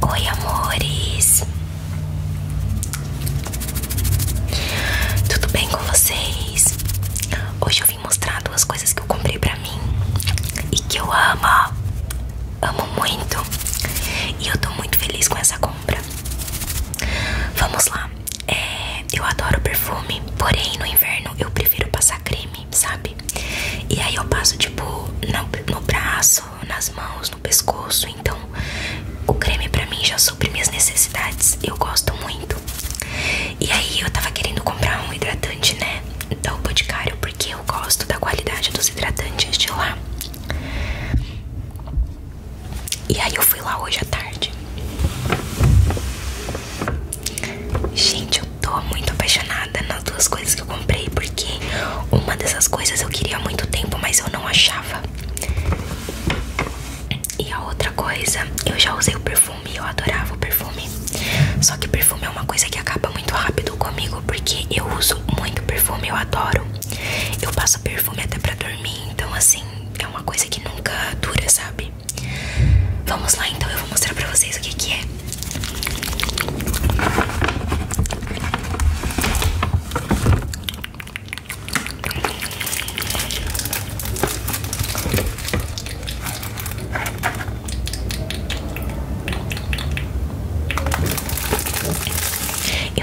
Oi, amores. Tudo bem com vocês? Hoje eu vim mostrar duas coisas que eu comprei pra mim e que eu amo, amo muito. E eu tô muito feliz com essa compra. Vamos lá. É, eu adoro perfume, porém no inverno eu prefiro passar creme, sabe? E aí eu passo tipo no, braço, nas mãos, no pescoço. Então o creme pra mim já supre minhas necessidades. Eu gosto muito. E aí eu tava querendo comprar um hidratante, né? Da o Boticário, porque eu gosto da qualidade dos hidratantes de lá. E aí eu fui lá hoje à tarde. Gente, eu tô muito apaixonada nas duas coisas que eu comprei, porque uma dessas coisas eu queria há muito tempo, mas eu não achava. E a outra coisa, eu já usei o perfume, eu adorava o perfume. Só que perfume é uma coisa que acaba muito rápido comigo, porque eu uso muito perfume, eu adoro. Eu passo perfume até pra dormir, então assim, é uma coisa que nunca dura, sabe? Vamos lá então, eu vou mostrar pra vocês o que que é.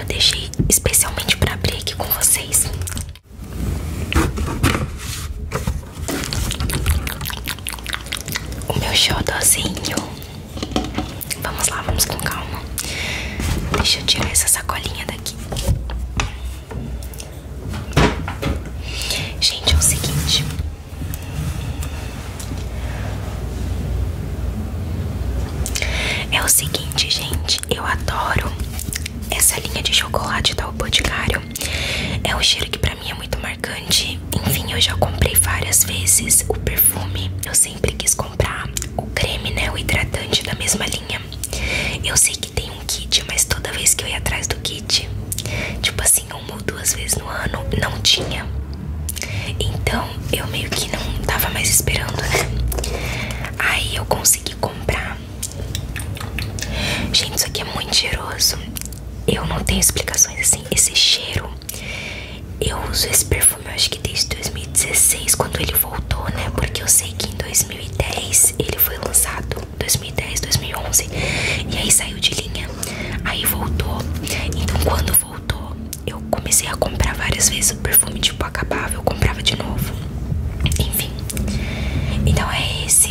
Eu deixei especialmente pra abrir aqui com vocês o meu xodózinho. Vamos lá, vamos com calma. Deixa eu tirar essa sacolinha daqui. Gente, é o seguinte. É o seguinte, gente. Eu adoro essa linha de chocolate da O Boticário é um cheiro que pra mim é muito marcante. Enfim, eu já comprei várias vezes o perfume. Eu sempre quis comprar o creme, né? O hidratante da mesma linha. Eu sei que tem um kit, mas toda vez que eu ia atrás do kit, tipo assim, uma ou duas vezes no ano, não tinha. Então eu meio que não tava mais esperando, né? Aí eu consegui comprar. Gente, isso aqui é muito cheiroso. Eu não tenho explicações assim. Esse cheiro. Eu uso esse perfume eu acho que desde 2016, quando ele voltou, né? Porque eu sei que em 2010 ele foi lançado. 2010, 2011. E aí saiu de linha. Aí voltou. Então quando voltou, eu comecei a comprar várias vezes o perfume, tipo, acabava, eu comprava de novo. Enfim. Então é esse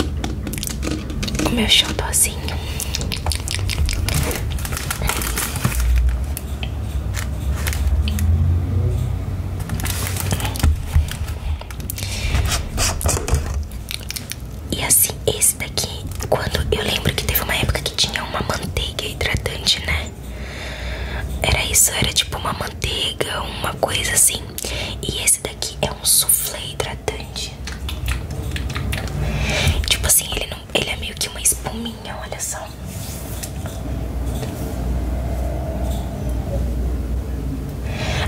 o meu xodózinho. E assim, esse daqui, quando eu lembro que teve uma época que tinha uma manteiga hidratante, né? Era isso, era tipo uma manteiga, uma coisa assim. E esse daqui é um soufflé hidratante. Tipo assim, ele, ele é meio que uma espuminha, olha só.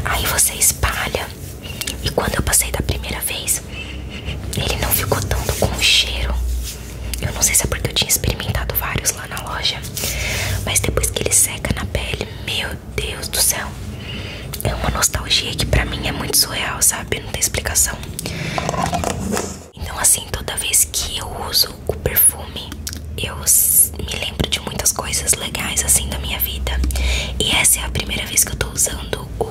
Aí você espalha. E quando eu passei da primeira vez, ele não ficou tanto com cheiro. Eu não sei se é porque eu tinha experimentado vários lá na loja, mas depois que ele seca na pele, meu Deus do céu, é uma nostalgia que pra mim é muito surreal, sabe? Não tem explicação. Então, assim, toda vez que eu uso o perfume, eu me lembro de muitas coisas legais assim da minha vida. E essa é a primeira vez que eu tô usando o,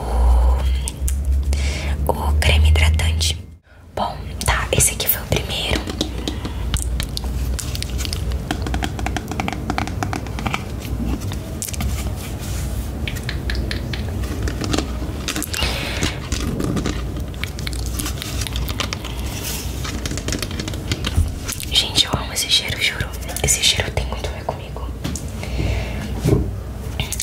o creme hidratante. Bom, tá, esse aqui foi o primeiro. Gente, eu amo esse cheiro, juro. Esse cheiro tem quanto a ver comigo.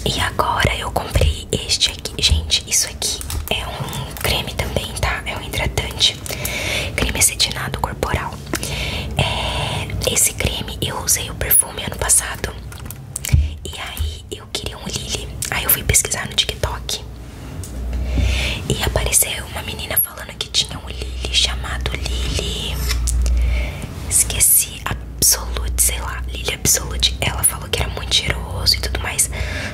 E agora eu comprei este gente, isso aqui é um creme também, tá? É um hidratante, creme acetinado corporal. É, esse creme eu usei o perfume ano passado e aí eu queria um Lily. Aí eu fui pesquisar no TikTok e apareceu uma menina falando que tinha um Lily chamado Lily. Esqueci, Absolute, sei lá, Lily de Absolute, ela falou que era muito cheiroso e tudo mais.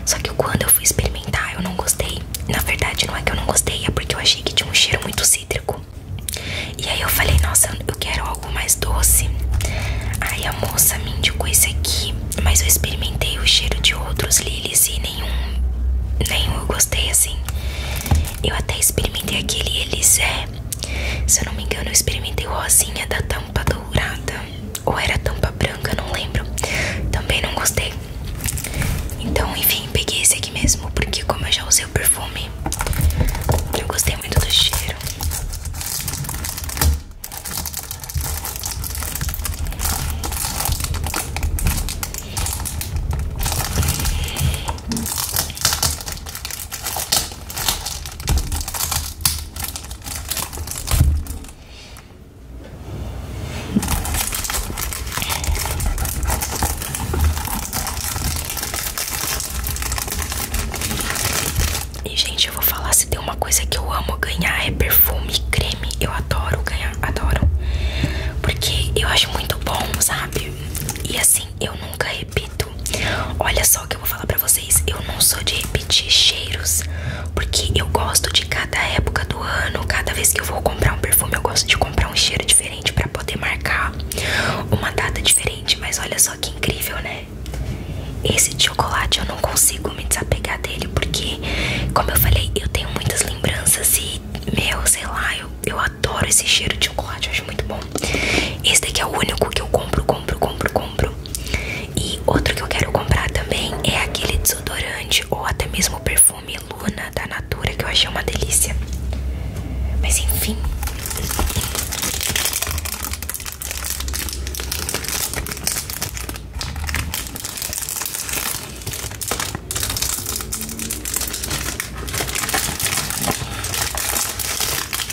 Só que quando eu fui experimentar, eu não gostei. Na verdade, não é que eu não gostei, é porque eu achei que tinha um cheiro muito cítrico. E aí eu falei, nossa, eu quero algo mais doce. Aí a moça me indicou esse aqui, mas eu experimentei o cheiro de outros lilies e nenhum, nenhum eu gostei assim. Eu até experimentei aquele Elisé, se eu não me engano eu experimentei o rosinha da tampa dourada, ou era tampa branca, não lembro. Também não gostei. Então, enfim, peguei esse aqui mesmo, porque como eu já usei o perfume, eu gostei muito do cheiro. E gente, eu vou falar se tem uma coisa que eu amo ganhar é perfume creme. Eu adoro ganhar, adoro. Porque eu acho muito bom, sabe? E assim, Assim, eu nunca repito. Olha só o que eu vou falar pra vocês. Eu não sou de repetir cheiros, porque eu gosto de cada época do ano. Cada vez que eu vou comprar um perfume, eu gosto de comprar um cheiro diferente pra poder marcar uma data diferente. Mas olha só que incrível, né? Esse de chocolate eu não consigo me desapegar dele, porque, como eu falei, eu tenho muitas lembranças e, meu, sei lá, eu, eu adoro esse cheiro de chocolate, eu acho muito bom. Esse daqui é o único que eu compro compro, compro, compro. E outro que eu quero comprar também é aquele desodorante ou até mesmo o perfume Luna da Natura, que eu achei uma delícia. Mas enfim.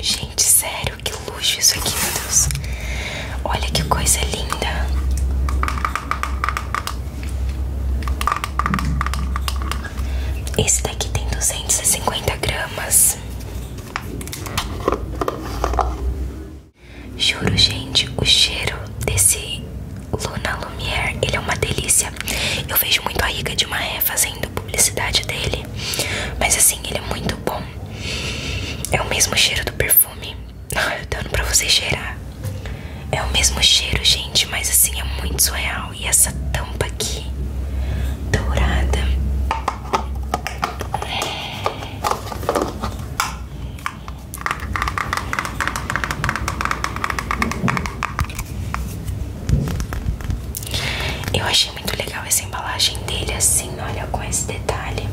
Gente, sério, que luxo isso aqui, meu Deus. Olha que coisa linda. Esse daqui tem 250 gramas. Juro, gente, o cheiro desse Luna Lumière, ele é uma delícia. Eu vejo muito a rica de uma fazendo publicidade dele. Mas assim, ele é muito bom. É o mesmo cheiro do perfume. Dando pra você cheirar. É o mesmo cheiro, gente. Mas assim, é muito surreal. E essa tampa aqui, dourada. Eu achei muito legal essa embalagem dele assim, olha, com esse detalhe.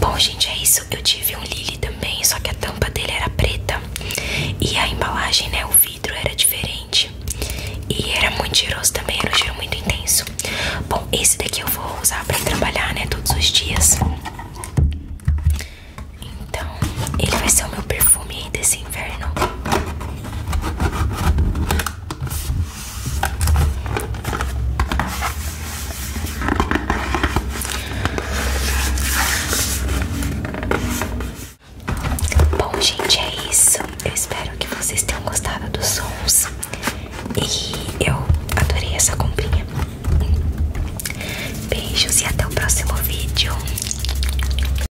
Bom, gente, é isso. Eu tive um Lily também, só que a tampa dele era preta. E a embalagem, né, o vidro era diferente. E era muito cheiroso também, era um cheiro muito intenso. Bom, esse daqui eu vou usar pra trabalhar, né, todos os dias. Então, ele vai ser o meu perfume desse inverno. Bom, gente, é isso. Eu espero que vocês tenham gostado dos sons. E eu adorei essa comprinha. Beijos e até o próximo vídeo.